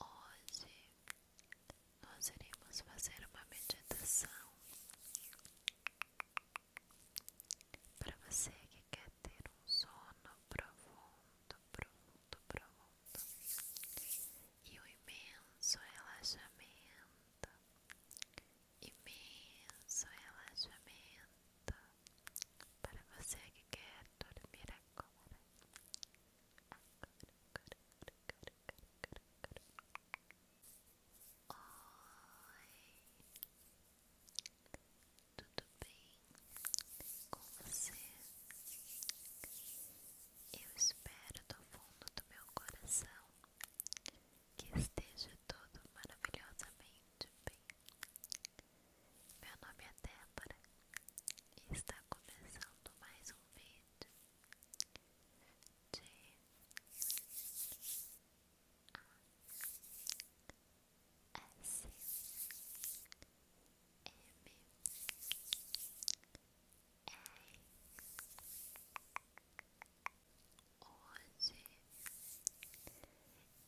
Hoje nós iremos fazer uma meditação para você que quer ter um sono profundo, profundo, profundo e um imenso relaxamento, imenso relaxamento para você que quer dormir agora. Agora, agora, agora, agora, agora, agora. Oi, tudo bem com você? Eu espero do fundo do meu coração que esteja todo maravilhosamente bem. Meu nome é Débora e está começando mais um vídeo de A S M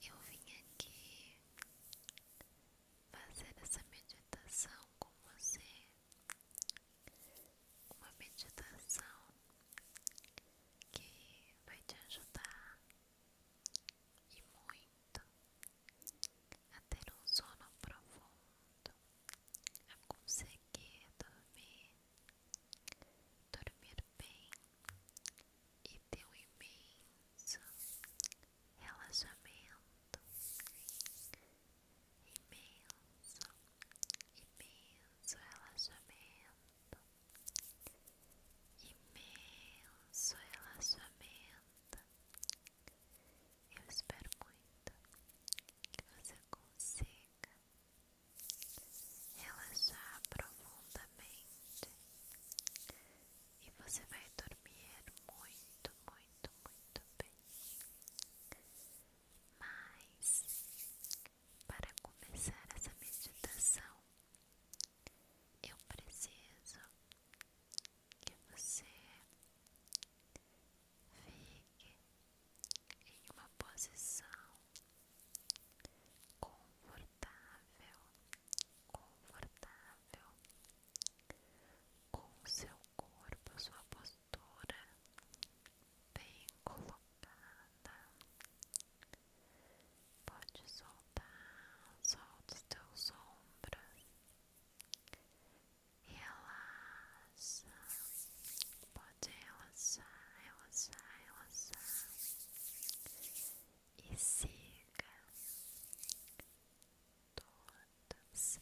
Hoje eu vim aqui fazer essa meditação com você, uma meditação que vai te ajudar e muito a ter um sono profundo, a conseguir dormir, dormir bem e teu imenso relaxamento, imenso, imenso relaxamento, imenso relaxamento. Eu espero muito que você consiga relaxar profundamente e você vai dormir muito, muito, muito bem. Mas para começar essa meditação, eu preciso que você fique em uma posição confortável confortável com o seu corpo, sua postura bem colocada. Pode soltar, solta os teus ombros, e relaxa, pode relaxar, relaxar, relaxar e siga todos,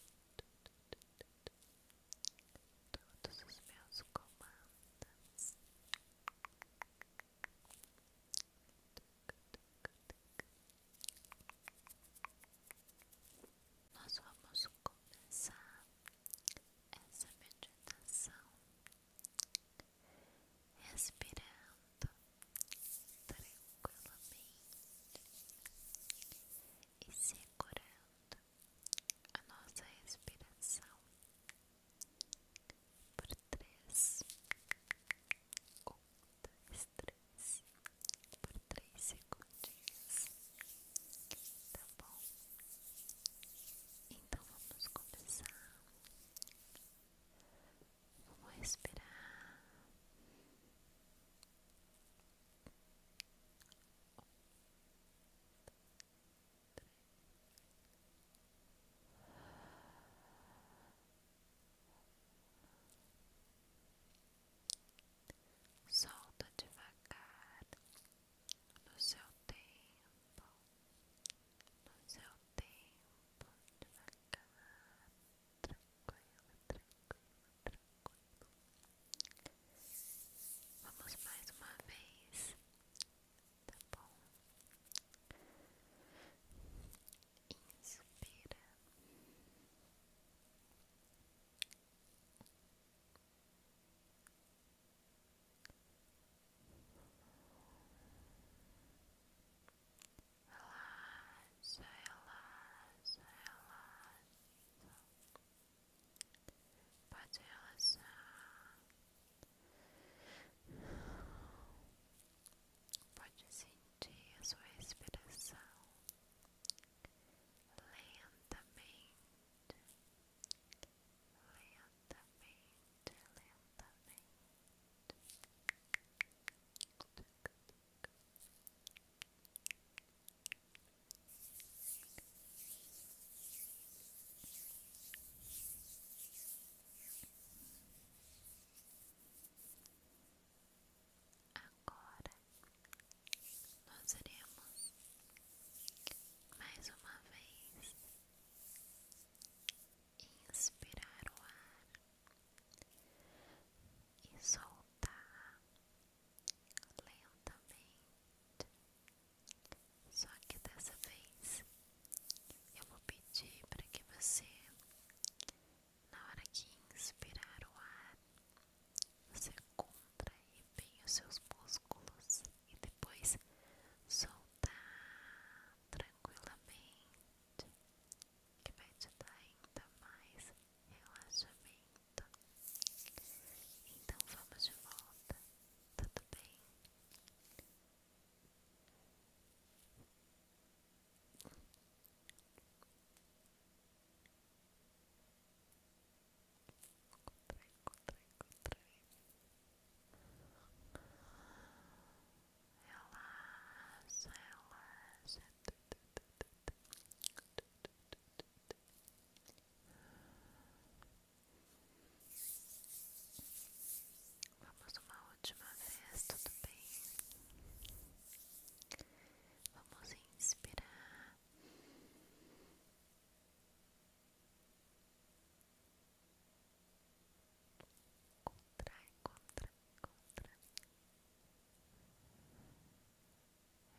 os meus comandos. Nós vamos começar essa meditação respirando tranquilamente e segurando a nossa respiração por três um, três por três segundinhos tá bom? Então vamos começar Vamos respirar. Solta devagar no seu tempo no é seu tempo, acabar tranquilo, tranquilo, tranquilo. Vamos mais uma vez, tá bom? Inspira. Relaxa, Pode relaxar. Pode sentir a sua respiração lentamente, lentamente. Agora nós iremos mais uma vez inspirar o ar e soltar lentamente. Só que dessa vez eu vou pedir para que você, na hora que inspirar o ar, você contrai bem os seus músculos e depois soltar tranquilamente, que vai te dar ainda mais relaxamento. Então vamos de volta, tudo bem? Contrai, contrai, contrai. Relaxa, relaxa. Vamos uma última vez, tudo bem? Vamos inspirar Contrai, contrai, contrai.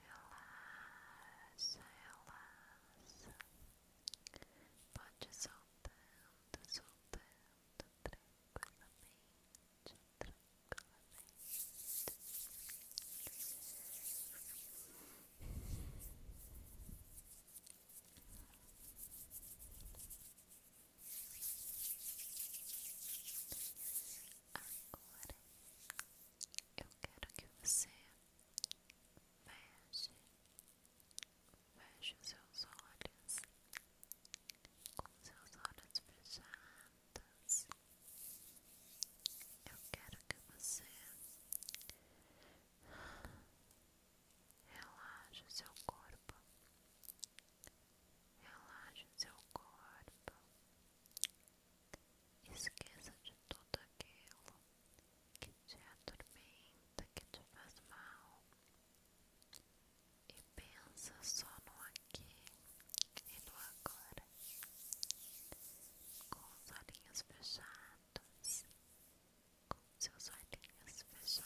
Relaxa, relaxa. Pode soltando, soltando tranquilamente, tranquilamente. Agora eu quero que você veja veja os seus olhos, com seus olhos fechados. Eu quero que você relaxe seu corpo. relaxe seu corpo. Esqueça de tudo aquilo que te atormenta, que te faz mal. E pensa só no aqui e no agora. Com os olhinhos fechados, com seus olhinhos fechados.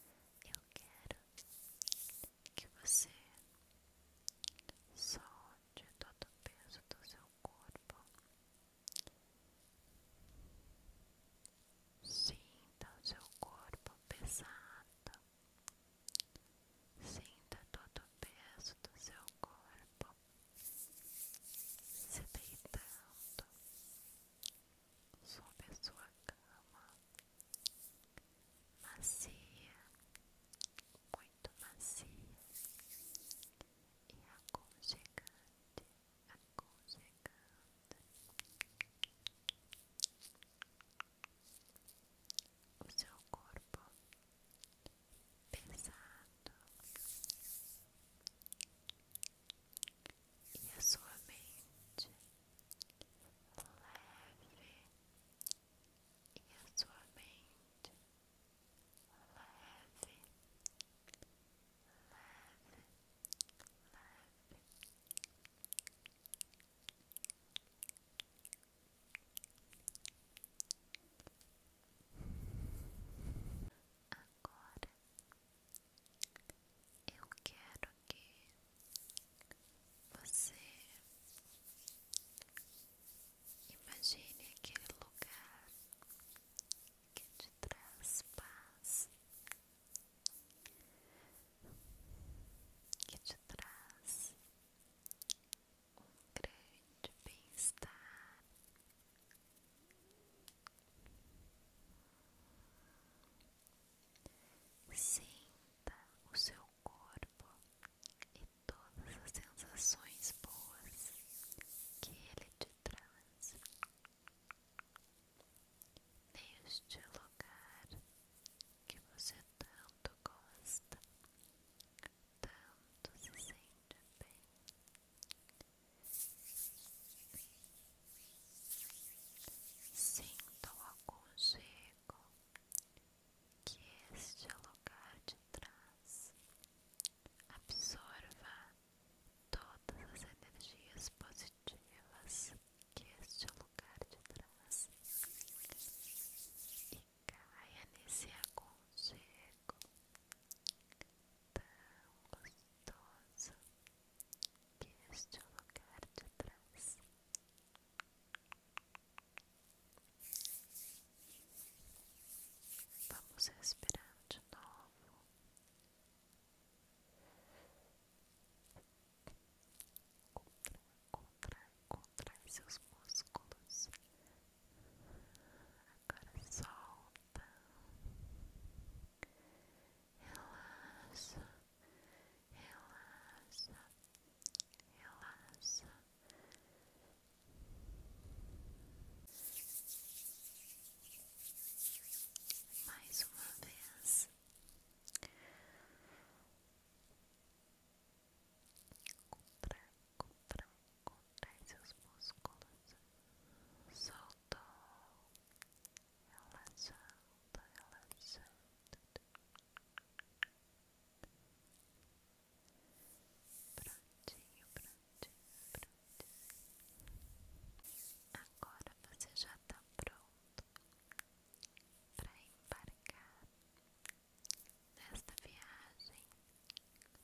Eu quero que você solte todo o peso do seu corpo. Sinta o seu corpo pesado. Sinta todo o peso do seu corpo se deitando sob a sua cama macia, muito macia e aconchegante, aconchegante. O seu corpo pesado e a sua mente leve e a sua mente leve, leve, leve. Agora eu quero que você imagine aquele lugar que te traz paz, que te traz um grande bem-estar. Sinta o seu corpo e todas as sensações boas que ele te traz. Neste lugar que você tanto gosta, tanto se sente bem. Sinta o aconchego que este lugar de trás Absorva todas as energias positivas que este lugar de trás e caia nesse aconchego branco tão gostoso que este é o lugar de trás. Vamos respirar de novo. Contrai, contrai, contrai seus músculos Agora solta, relaxa, relaxa, relaxa. Mais uma vez. Contra, contra, contrai seus músculos, soltou, relaxando, relaxando. Prontinho, prontinho, prontinho. Agora você já está pronto para embarcar nesta viagem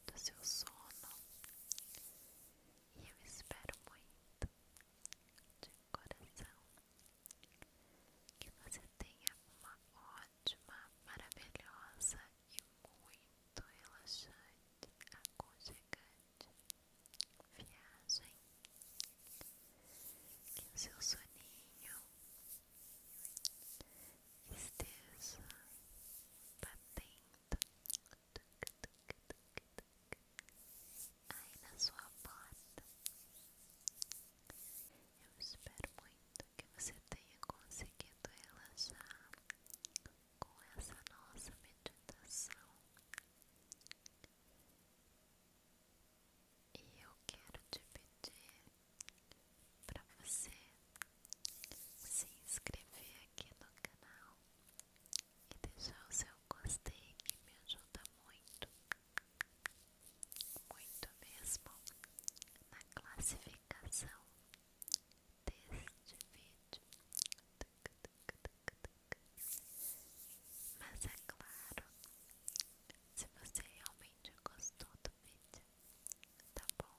do seu sono e eu espero muito de coração que você tenha uma ótima, maravilhosa e muito relaxante, aconchegante viagem. Que o seu soninho esteja batendo aí na sua porta. Eu espero muito que você tenha conseguido relaxar com essa nossa meditação. E eu quero te pedir para você se inscrever aqui no canal e deixar o seu gostei que me ajuda muito, muito mesmo na classificação deste vídeo. Mas é claro, se você realmente gostou do vídeo, tá bom?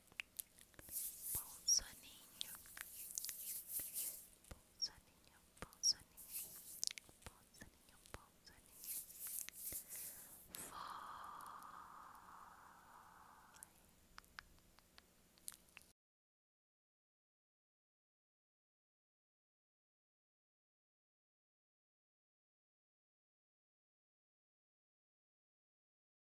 Bom soninho. Bom soninho, bom soninho. Bom soninho, bom soninho. Foi.